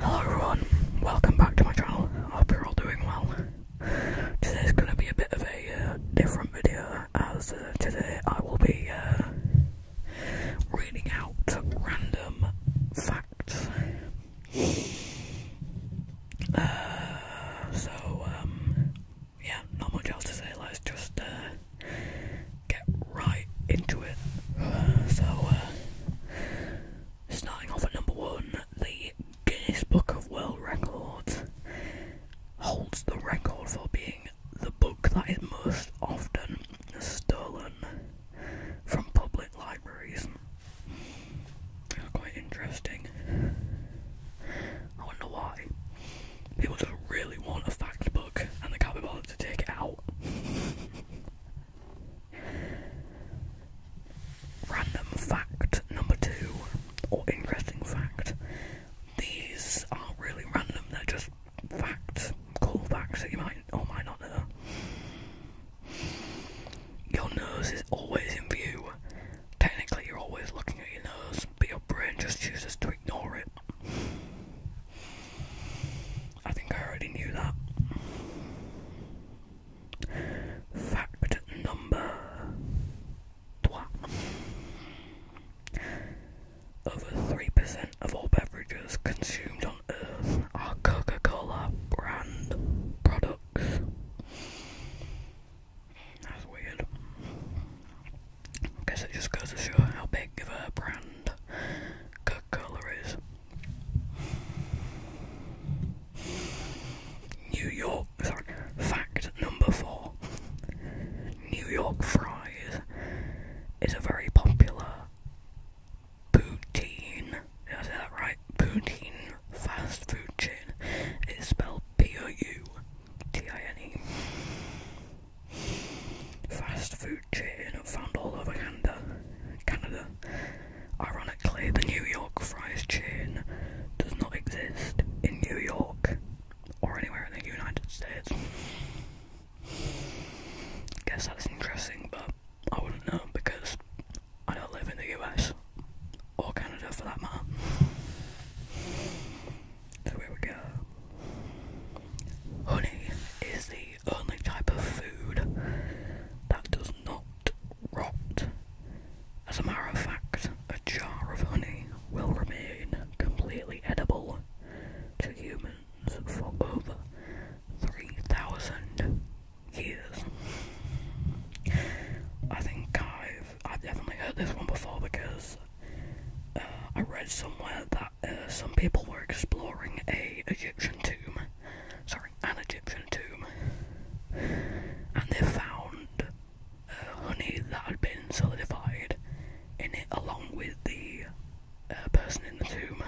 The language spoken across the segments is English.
Hello everyone, welcome back to my channel. I hope you're all doing well. Today's going to be a bit of a uh, different video as uh, today I will be uh, reading out random facts. so, um, yeah, not much else to say, let's just get right into it. so, Starting off at number one, the Guinness Book of World Records holds the record for being the book that is most often stolen from public libraries. quite interesting. I wonder why. People just really want a fact book and they can't be bothered to take it out. Random fact number two, or interesting fact. These aren't really random, they're just facts, cool facts that you might or might not know. Your nose is always in view. Technically, you're always looking at your nose, but your brain just chooses to ignore it. I think I already knew that. Fact number 3 Over 3% of all beverages consumed on Earth are Coca Cola brand products. That's weird. guess it just goes to show how big of a brand Coca Cola is. New York, sorry, fact number four New York fries is a very popular poutine, did I say that right? Poutine fast food chain. It's spelled P O U T I N E. Fast food chain found all over Canada Ironically, the New York fries chain does not exist in New York or anywhere in the United States. Guess that's interesting, but I wouldn't know because I don't live in the US or Canada for that matter. So we go. Honey is the only type of food that does not rot. As a matter of fact, a jar of honey will remain completely edible to humans for over 3,000 years. I think I've, I've definitely heard this one before because uh, I read somewhere that uh, some people were exploring a Egyptian tomb sorry, an Egyptian tomb, and they found uh, honey that had been solidified in it along with the uh, person in the tomb.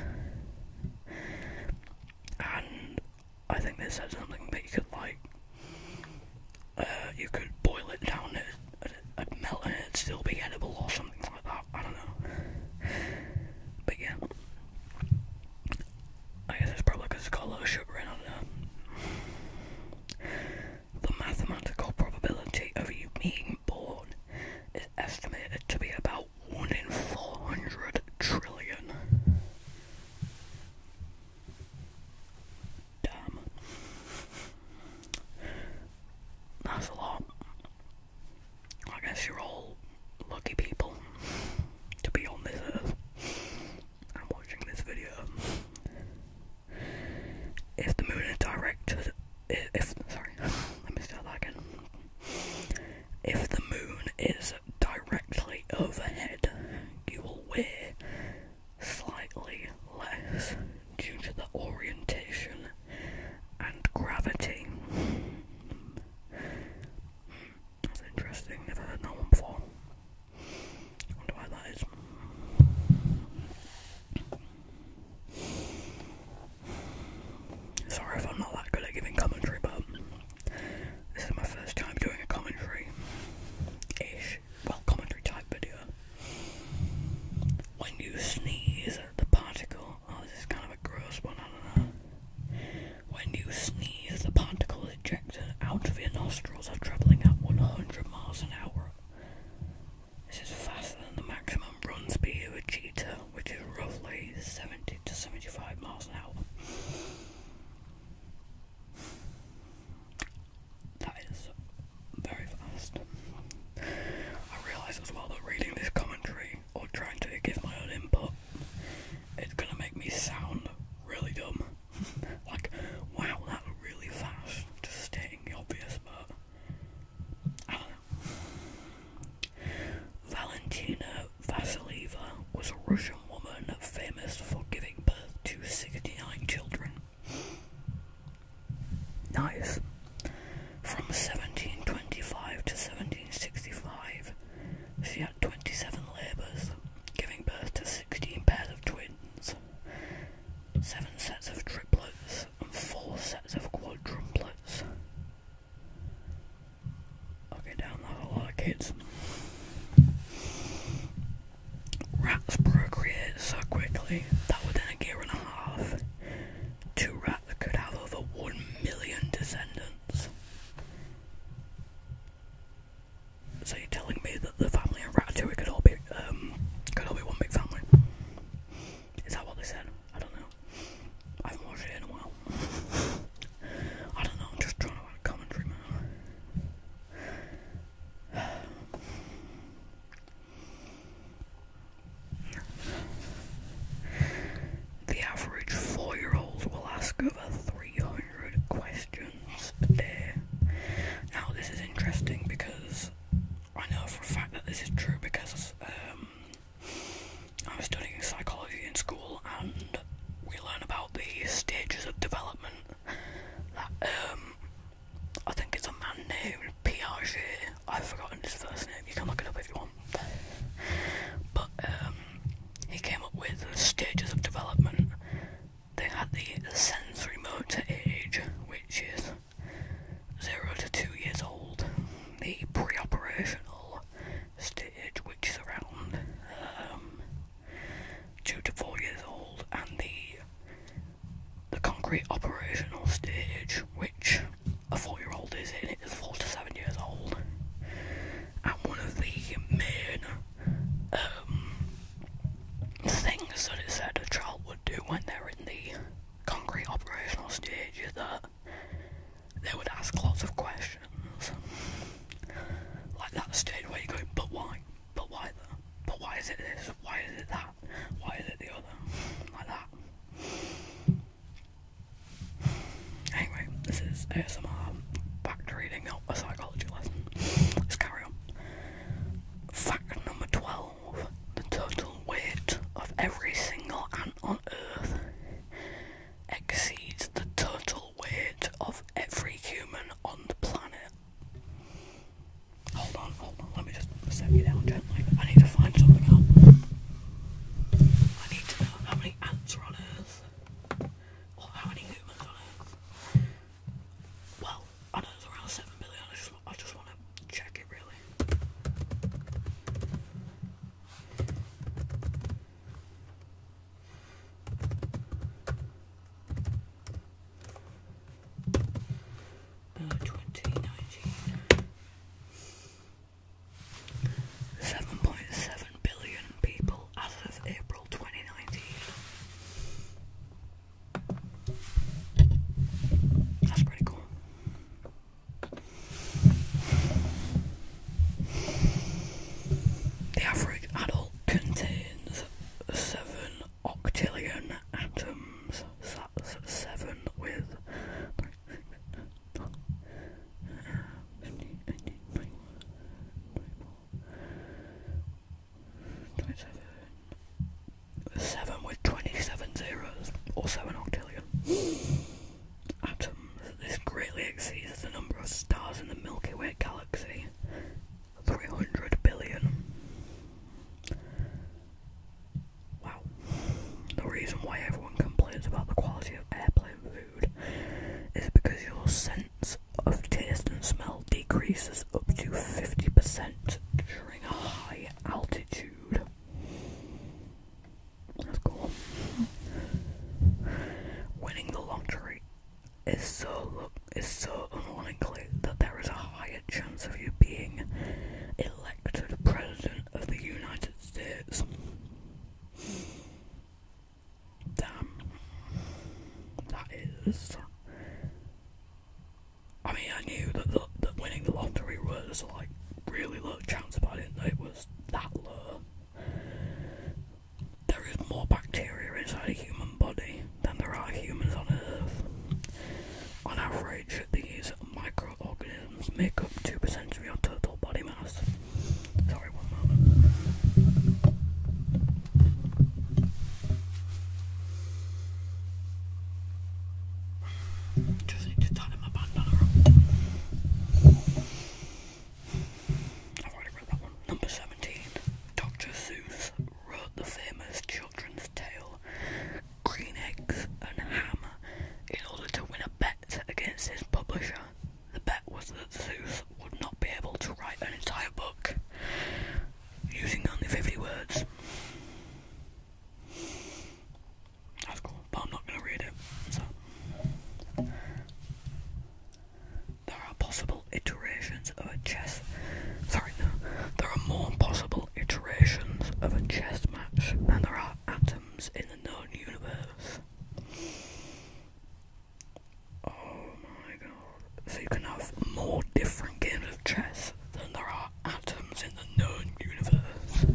And I think they said something that you could like, uh, you could boil it down and it'd melt and it'd still be edible or something like that. I don't know. But yeah, I guess it's probably because it sugar in, I do The mathematical probability of you being born is estimated to be about 1 in 400 trillion. Damn. That's a lot. I guess you're all lucky people to be on this earth and watching this video. If the moon is direct, if sorry, let me start that again. If the moon is directly overhead, you will weigh slightly less due to the orientation and gravity. That's interesting. Never heard that one before. Wonder why that is. Sorry if I'm not that good at giving commentary, but this is my first time doing a commentary ish, well, commentary type video. When you sneeze the particle, oh, this is kind of a gross one, I don't know. When you sneeze, the particles ejected out of your nostrils are travelling at 100 miles an hour. This is faster than the maximum run speed of a cheetah, which is roughly 70 to 75 miles an hour. That is very fast. I realised as well that reading this commentary or trying to give my own input, it's gonna make me sound really dumb. like, wow, that was really fast. Just stating the obvious, but Valentina Vasilieva was a Russian woman famous for giving birth to 69 children. Nice. From 1725 to 1765, she had 27 labours, giving birth to 16 pairs of twins, 7 sets of triplets, and 4 sets of quadruplets. Okay, down that's a lot of kids. Rats procreate so quickly that within a year and a half, two rats could have over 1 million descendants. So you're telling me that the family in Ratatouille could all be um, could all be one big family? Is that what they said? I don't know. I haven't watched it in a while. I don't know, I'm just trying to add commentary now. The average four year old will ask over 300 questions Now, this is interesting because I know for a fact that this is true because um, I'm studying psychology in school and we learn about the stages of development that um, I think it's a man named Piaget. I've forgotten his first name. You can look it up if you want. But um, he came up with stages of development. They had the sensory motor age, which is 0 to 2 years old, the pre operational stage, which is around um, 2 to 4 years old, and the the concrete operational stage, which a four year old is in, is four to seven years old and one of the main things um, that it said a child would do when they're in the concrete operational stage is that they would ask lots of questions. Like that stage where you go, but why? But why But why is it this? Why is it that? Why is it the other? Like that. Anyway, this is ASMR back to reading, not a psychology lesson. Let's carry on. Fact number 12 the total weight of every single ant on Earth exceeds the total weight of every human on the planet. Hold on, hold on, let me just set you down gently. I need to find something out. I need to know how many ants are on Earth. Well, I know it's around seven billion. I just want to check it really. 2019 7.7 billion people as of April 2019. That's pretty cool. The average adult contains seven octillion atoms. that's seven with. 27. 7 with 27 zeros, also an octillion. Atoms. This greatly exceeds the number of stars in the Milky Way galaxy 300 billion. Wow. The reason why everyone complains about the quality of airplane food is because your sense of taste and smell decreases up to 50% during a high altitude. That's cool. Winning the lottery is so is so unlikely that there is a higher chance of you being elected president of the United States. Damn. That is. I mean, I knew that, the, winning the lottery was like really low chance, but I didn't know it was that low. There is more bacteria inside a human body than there are humans on Earth. On average, these microorganisms make up 2% of your total body mass. Sorry, one moment. Just need to tighten my bandana up. Number 17. Dr. Seuss wrote the famous children's tale Green Eggs and Ham in order to win a bet against his publisher. The bet was that Zeus would not be able to write an entire book using only 50 words. That's cool, but I'm not going to read it. There are possible iterations of a chess. Sorry, no. There are more possible iterations of a chess match than there are atoms in the known universe. Oh my god. So you can have more different games of chess than there are atoms in the known universe.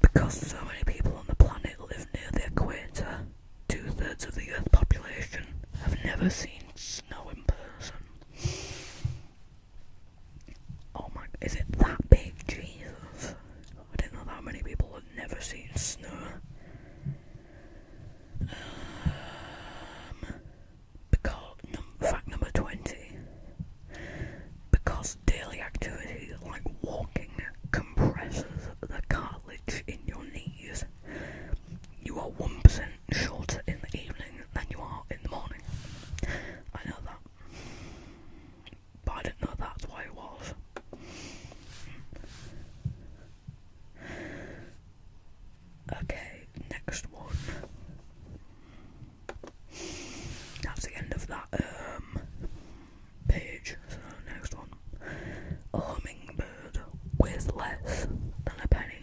Because so many people on the planet live near the equator, two thirds of the Earth's population have never seen snow in person. Oh my, is it that big? Jesus. I didn't know that many people had never seen snow. Um, because fact number twenty. Because daily activity like walking compresses the cartilage in your knees, you are one percent shorter in the evening than you are in the morning. I know that. But I didn't know that's why it was. Okay, next one. That's the end of that um page. So next one. A hummingbird weighs less than a penny.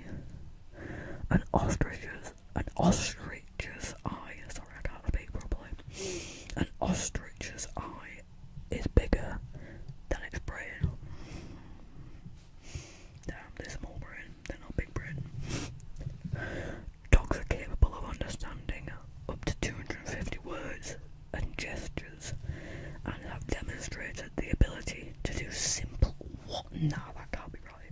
An ostrich's an ostrich's eye sorry I can't speak properly. An ostrich's eye is bigger than its brain. Damn, they're small brain, they're not big brain. Dogs are capable of understanding up to 250 words and gestures and have demonstrated the ability to do simple what that can't be right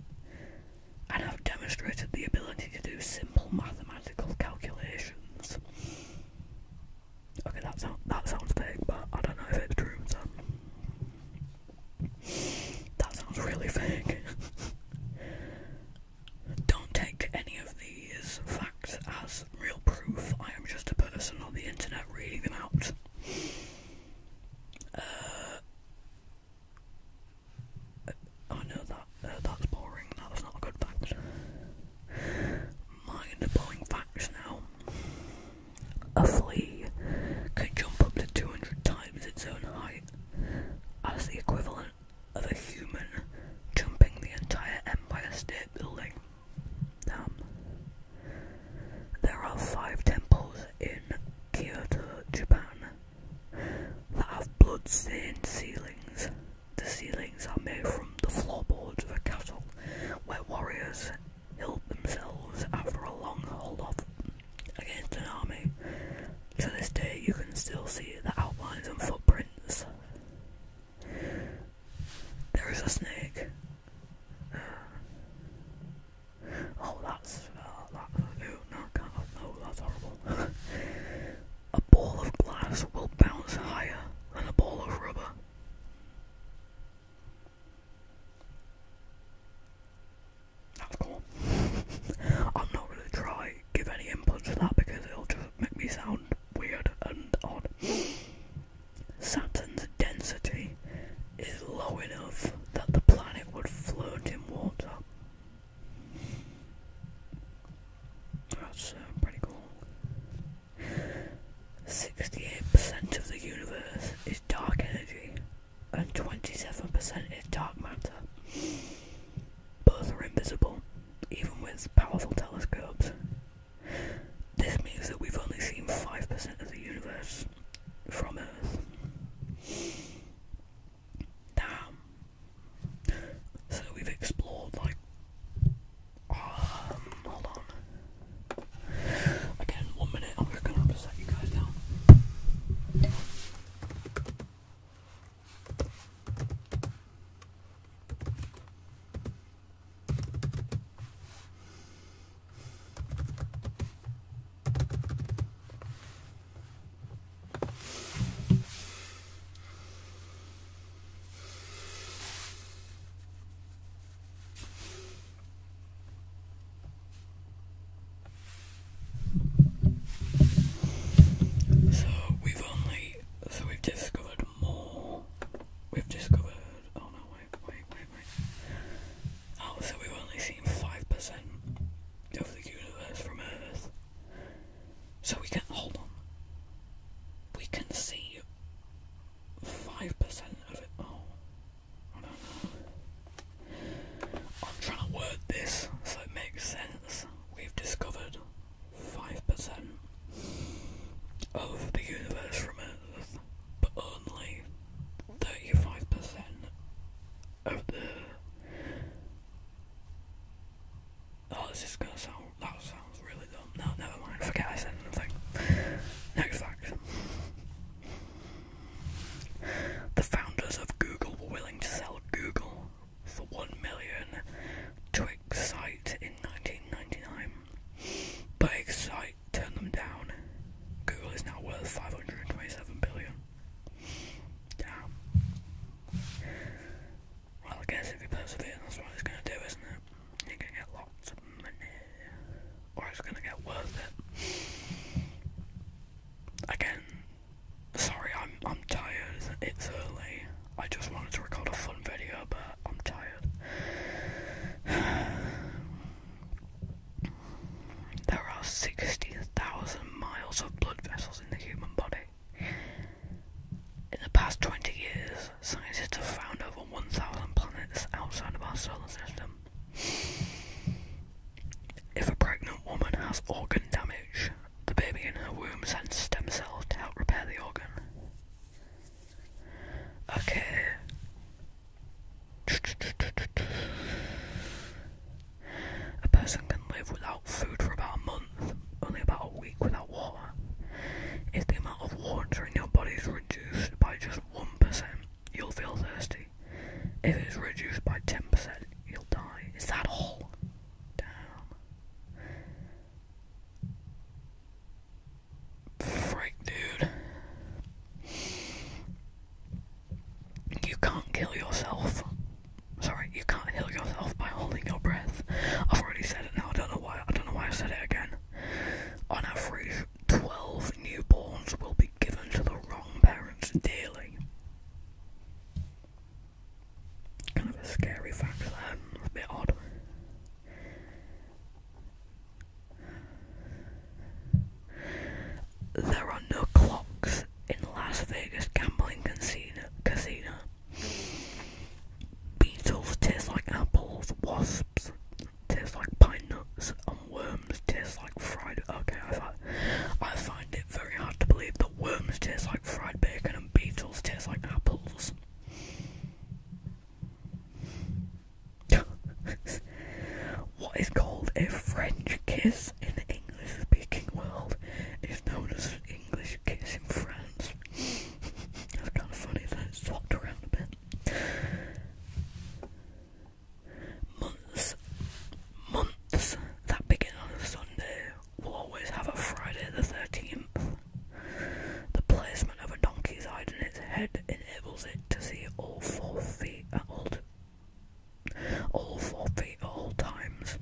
and have demonstrated the ability to do simple mathematical calculations Okay, that sound that sounds fake, but I don't know if it's true. So that sounds really fake. don't take any of these facts as real proof. I am just a person on the internet reading them out. Uh, I know that uh, that's boring. That's not a good fact mind-blowing facts now. A flea can jump up to 200 times its own height. as the equivalent of a human jumping the entire Empire State Building. Um, there are five temples in Kyoto, Japan, that have blood-stained ceilings. The ceiling buildings are made from the floorboards of a castle, where warriors help themselves after a long hold-off against an army. To this day, you can still see the outlines and footprints. There is a snake. oh, that's uh, that. Ew, no, that's horrible. a ball of glass will bounce higher than a ball of rubber. That's cool. I'm not gonna try give any input to that because it'll just make me sound weird and odd. Saturn's density is low enough that the planet would float in water. That's uh, pretty cool. 68% of the universe is dark energy and 27% is dark matter. Both are invisible, even with powerful telescopes. This means that we've only seen 5% of the universe from Earth. Now, so we've explored like um, hold on. Again, one minute. I'm going to set you guys down. So we've only so we've discovered more. We've discovered oh no wait wait wait wait. Oh so we've only seen five percent of the universe from Earth. So we can hold on. We can see you five percent of it. Oh, I don't know. I'm trying to word this so it makes sense. We've discovered five percent of the universe from Earth, but only thirty-five percent of the. Oh, this is gonna sound. That sounds really no, never mind. Forget I said anything. Next fact. The founders of Google were willing to sell Google for one million to Excite in 1999, but Excite turned them down. Google is now worth 527 billion. Damn. Well, I guess if you persevere, that's what it's gonna do, isn't it? You're gonna get lots of money or it's gonna get worth it. Again, sorry, I'm I'm tired. It's early. I just wanted to record a fun video, but I'm tired. There are sixty thousand miles of blood vessels in the human body. In the past 20 years, Scientists have found over 1,000 planets outside of our solar system. If a pregnant woman has organ damage, the baby in her womb sends stem cells to help repair the organ. Okay. A person can live without food for about a month, only about a week without water. If the amount of water in your body is reduced by just 1%, you'll feel thirsty. If it's reduced by 10%, you'll die. Is that all? Damn. Frick, dude. You can't kill yourself. Sorry, you can't heal yourself by holding your breath. I've already said it now. I don't know why. I don't know why I said it again. On average, 12 newborns will be given to the wrong parents daily. Kind of a scary fact there, a bit odd. There are no clocks in Las Vegas gambling casino. Beetles taste like apples, wasps tastes like pine nuts and worms taste like fried. Okay, I find, it very hard to believe that worms taste like fried bacon and beetles taste like apples. what is called a French kiss in the English speaking world is known as an English kiss in France. That's kind of funny that it's swapped around a bit months, months that begin on a Sunday will always have a Friday the 13th. The placement of a donkey's hide in its head enables it to see all four feet at all, all four feet at all times.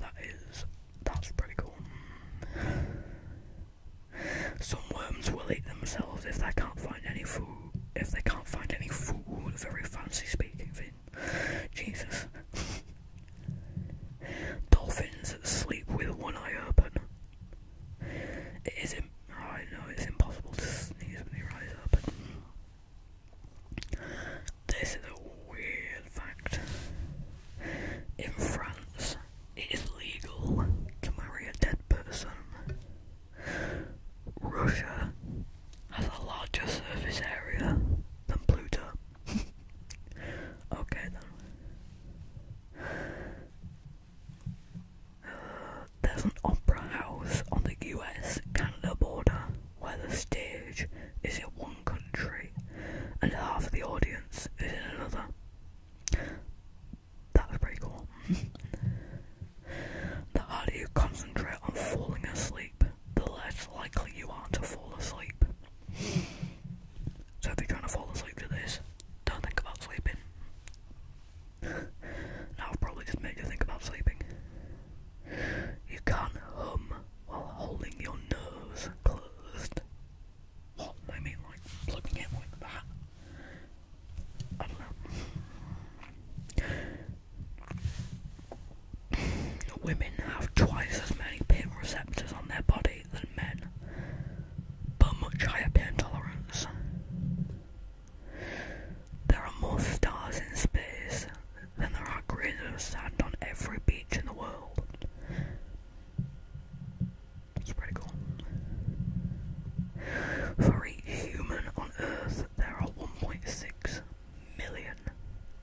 That is, that's pretty cool. Some worms will eat themselves if they can't find any food. If they can't find any food, very fancy speaking thing. Jesus. Dolphins sleep with one eye open. It is I know it's impossible to sneeze when your eyes open. This is a weird fact. In France, it is legal to marry a dead person. Russia has a larger surface area than Pluto. okay then. Uh, there's an opera house on the US Canada border where the stage is in one country and half the audience is in another that pretty cool. the harder you concentrate on falling asleep, the less likely you are to fall asleep. So if you're trying to fall asleep to this, don't think about sleeping. now I've probably just made you think about sleeping. You can't hum while holding your nose closed. Well, like flipping it like I don't know. Women have twice as many pain receptors on their body than men, but much higher pain tolerance. There are more stars in space than there are grains of sand on every beach in the world. For each human on Earth, there are 1.6 million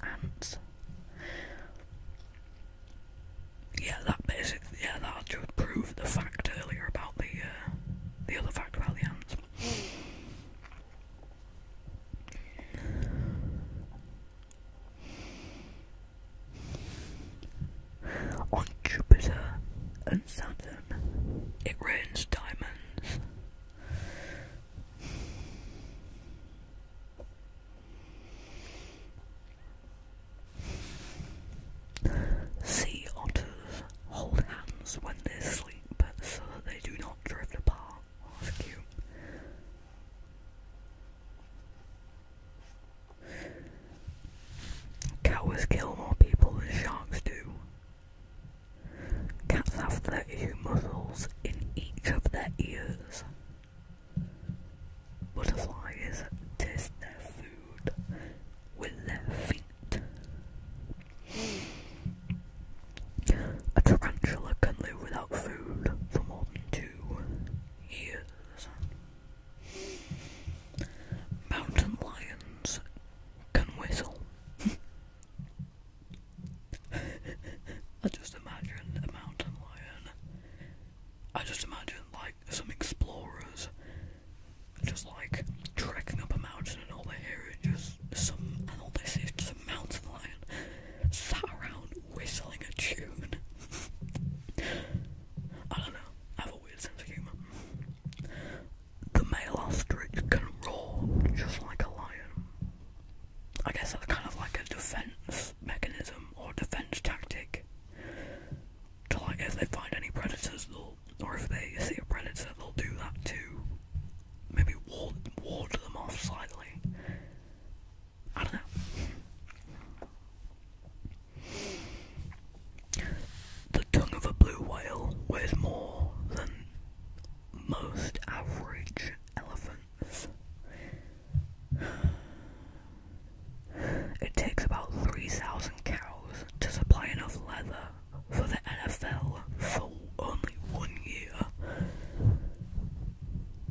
ants. Yeah, that basically, yeah, that just proved the fact earlier about the, uh, the other fact about the ants. On Jupiter and Saturn, it rains diamonds. Sea otters hold hands when they sleep so that they do not drift apart. Oh, that's Cows kill more people than sharks do. Cats have 32 muscles in each of their ears. Butterflies taste their food with their feet. A tarantula can live without food for more than two years. Mountain lions can whistle. I just imagine a mountain lion. I just imagine like some explorers just like trekking up a mountain and all they hear is just some and all they see is a mountain lion sat around whistling a tune. I don't know. The male ostrich can roar just like a lion. I guess that's kind of like a defense mechanism or defense tactic. To like, if they find any predators, or if they see a predator, they'll do that too. maybe ward, ward them off slightly. I don't know. The tongue of a blue whale weighs more than most average elephants. It takes about 3,000 cows to supply enough leather for the NFL for only one year.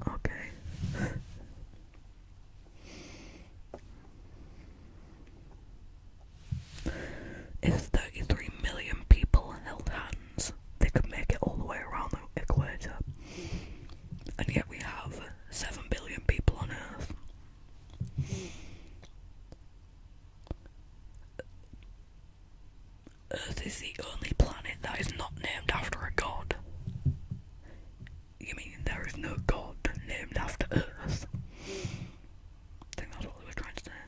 Okay. If 33 million people held hands, they could make it all the way around the equator. And yet we have 7 billion people on Earth. Earth is the only planet that is not named after a god. You mean there is no god named after Earth? I think that's what they were trying to say.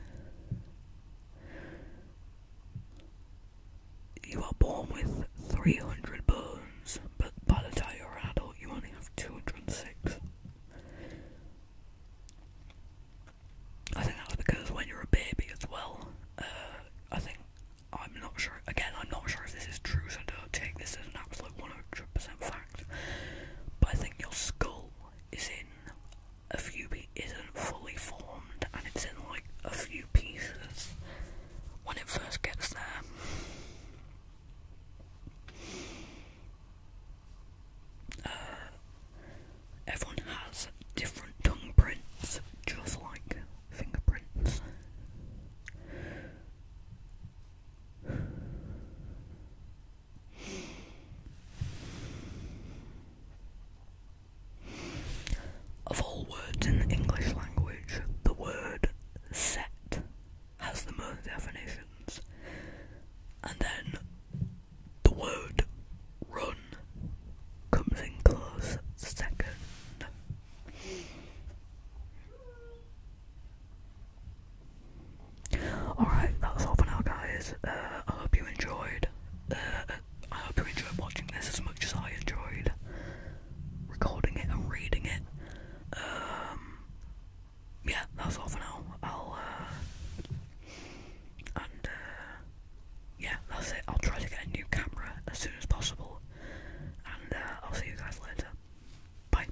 You are born with 300 bones, but by the time you're an adult, you only have 206. I think that's because when you're a baby as well, uh, I think, I'm not sure, again, I'm not sure if this is true, so don't take this as an absolute 100% fact. But I think your skull is in a few pieces, not fully formed, and it's in like a few pieces when it first gets there. Uh, everyone has different tongue prints, just like fingerprints. Of all words in the English language, the word set has the most definitions, and then the word run comes in close second. Alright, that's all for now, guys. Uh, I hope you enjoyed. Uh, I hope you enjoyed watching this as much as I enjoyed recording it and reading it. Um, yeah, that's all for now. I'll, uh, and, yeah, that's it. I'll try to get a new camera as soon as possible. And I'll see you guys later. Bye.